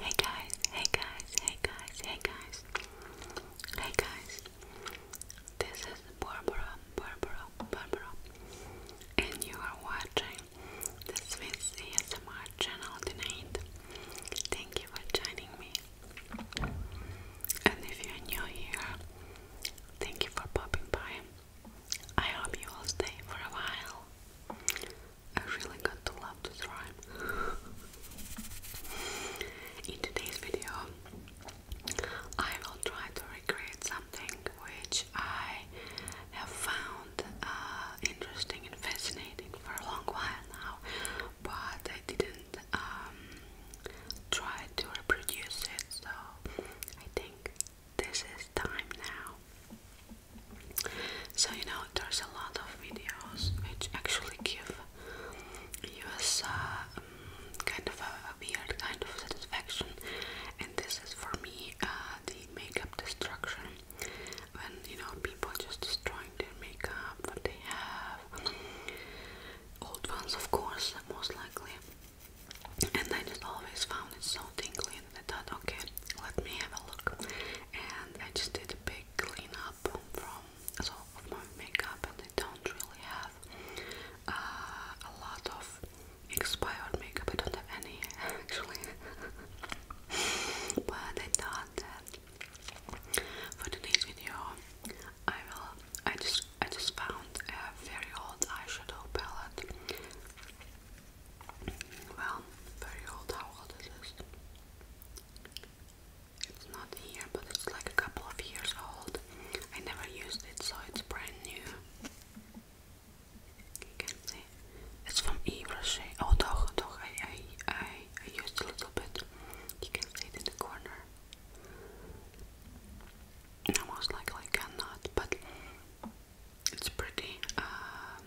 Hey guys, hey guys, hey guys, hey guys. Hey guys. This is Barbara, Barbara, Barbara. And you are watching the Swiss ASMR channel tonight. Thank you for joining me. And if you're new here, thank you for popping by. I hope you will stay for a while. I really got to love this rhyme. In today's video, I will try to recreate something which I have found uh, interesting and fascinating for a long while now, but I didn't um, try to reproduce it, so I think this is time now. So, you know, there's a lot of videos which actually give you a um, kind of a, weird kind of satisfaction, and this is for me uh, the makeup destruction when you know people are just destroying their makeup, what they have. Old ones, of course, most likely and I just always found it so tingly and I thought okay let me have a look and I just did a big cleanup from so of my makeup and I don't really have uh, a lot of expired makeup I don't have any actually but I thought that for today's video I will I just I just found a very old eyeshadow palette well, very old. How old is this? It's not here, but it's like a couple of years old. I never used it, so it's brand new. You can see. It's from Yves Rocher. Oh, doch, I, I, I, used a little bit. You can see it in the corner. Almost like I cannot, but it's pretty um,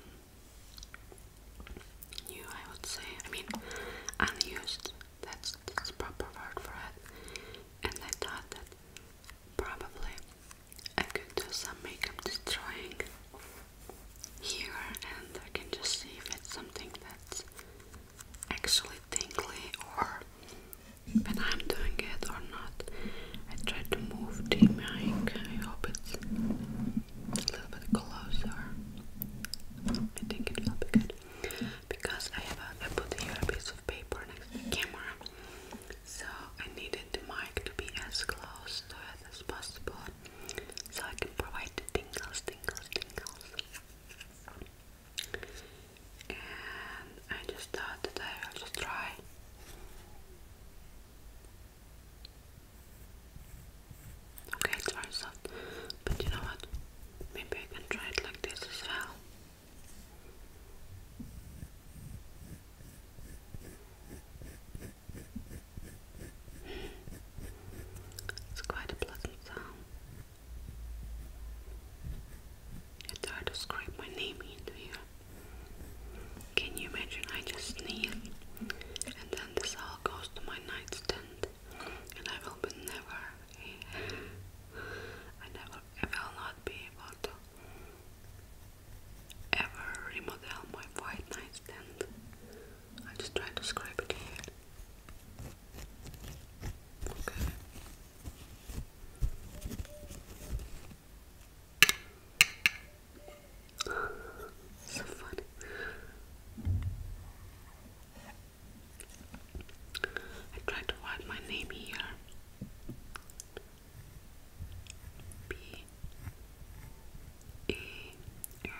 new, I would say. I mean, unused. That's, the proper word for it. And I thought that probably I could do some makeup destroying here, and I can just see if it's something that's actually tingly or when I'm doing it or not. I try to move the mic. I hope it's a little bit closer. I think it will good because I have a, I put here a piece of paper next to the camera, so I need the mic to be as close as possible, so I can provide the tingles, tingles, tingles and I just thought that I will just try. Okay, it's very soft, but you know what? Maybe I can try it like this as well. It's quite a pleasant sound. I tried to scrape my name into here. Can you imagine? I just kneel, and then this all goes to my nightstand, and I will be never, I never, I will not be able to ever remodel my white nightstand. I just try to scribe it Okay so funny. I tried to write my name here. B E R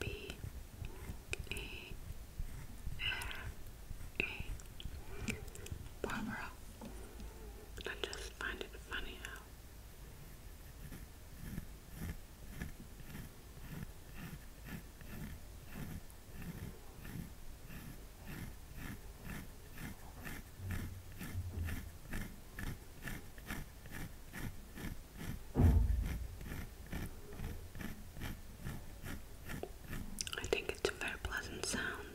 B E, R, E, Barbara. I just find it funny I think it's a very pleasant sound.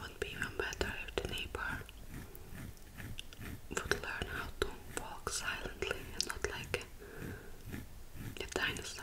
Would be even better if the neighbor would learn how to walk silently and not like a, dinosaur.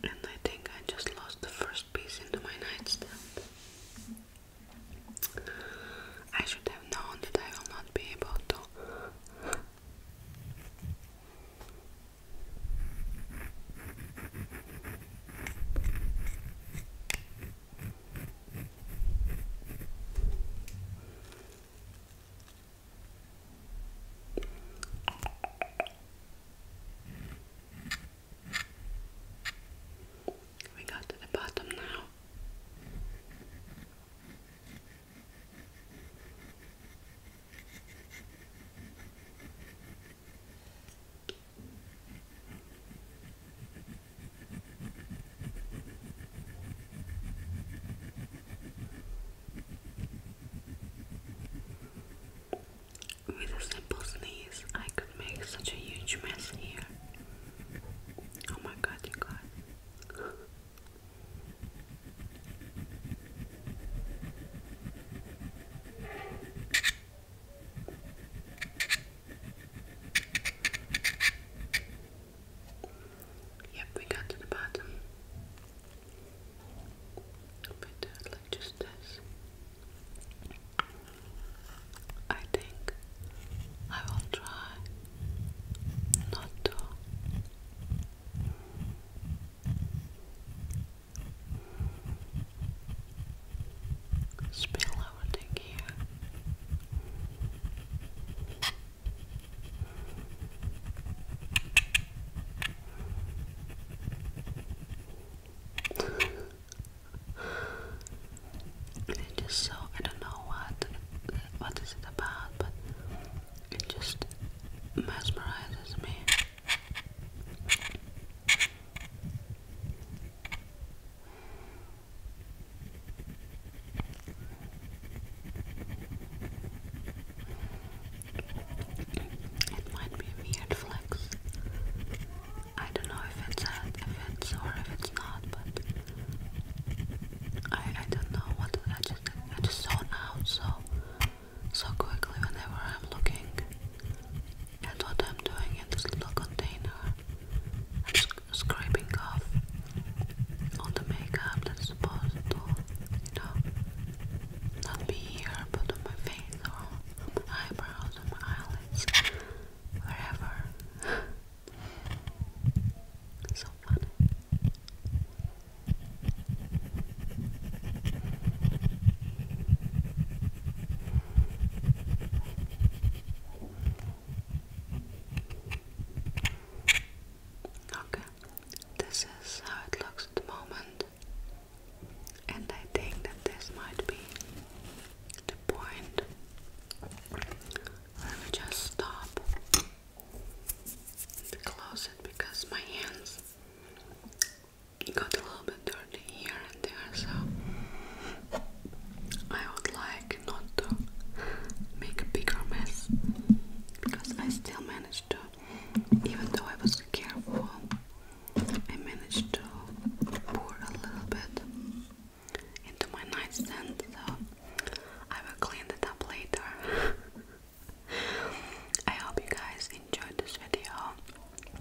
And I think I just lost the first piece into my nightstand. I should have known that I will not be able to. We got to the bottom now. With a simple sneeze, I could make such a huge mess here. Oh my god, you guys. Yep, we got to the bottom. But uh, like just this. I think I will try not to Spill everything here. It just so I don't know what what is it about, but it just mesmerizes me. It might be a weird flex. I don't know if it's if it's or if it's not, but I I don't know what I just I just saw now so so quickly whenever I'm looking at what I'm doing in this little container. i scraping off all the makeup that's supposed to you know not be here but on my face or eyebrows, on my eyelids, wherever. Okay, this is how it looks at the moment, and I think that this might be the point where we just stop to close because my hands got a little bit dirty here and there, so I would like not to make a bigger mess because I still managed to, even though I was careful, I managed to pour a little bit into my nightstand, so I will clean it up later. I hope you guys enjoyed this video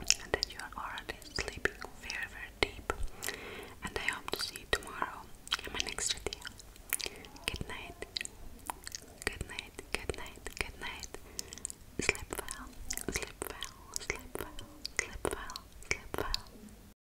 and that you are already sleeping very, very deep. And I hope to see you tomorrow in my next video. Good night. Good night. Good night. Good night. Sleep well. Sleep well. Sleep well. Sleep well. Sleep well.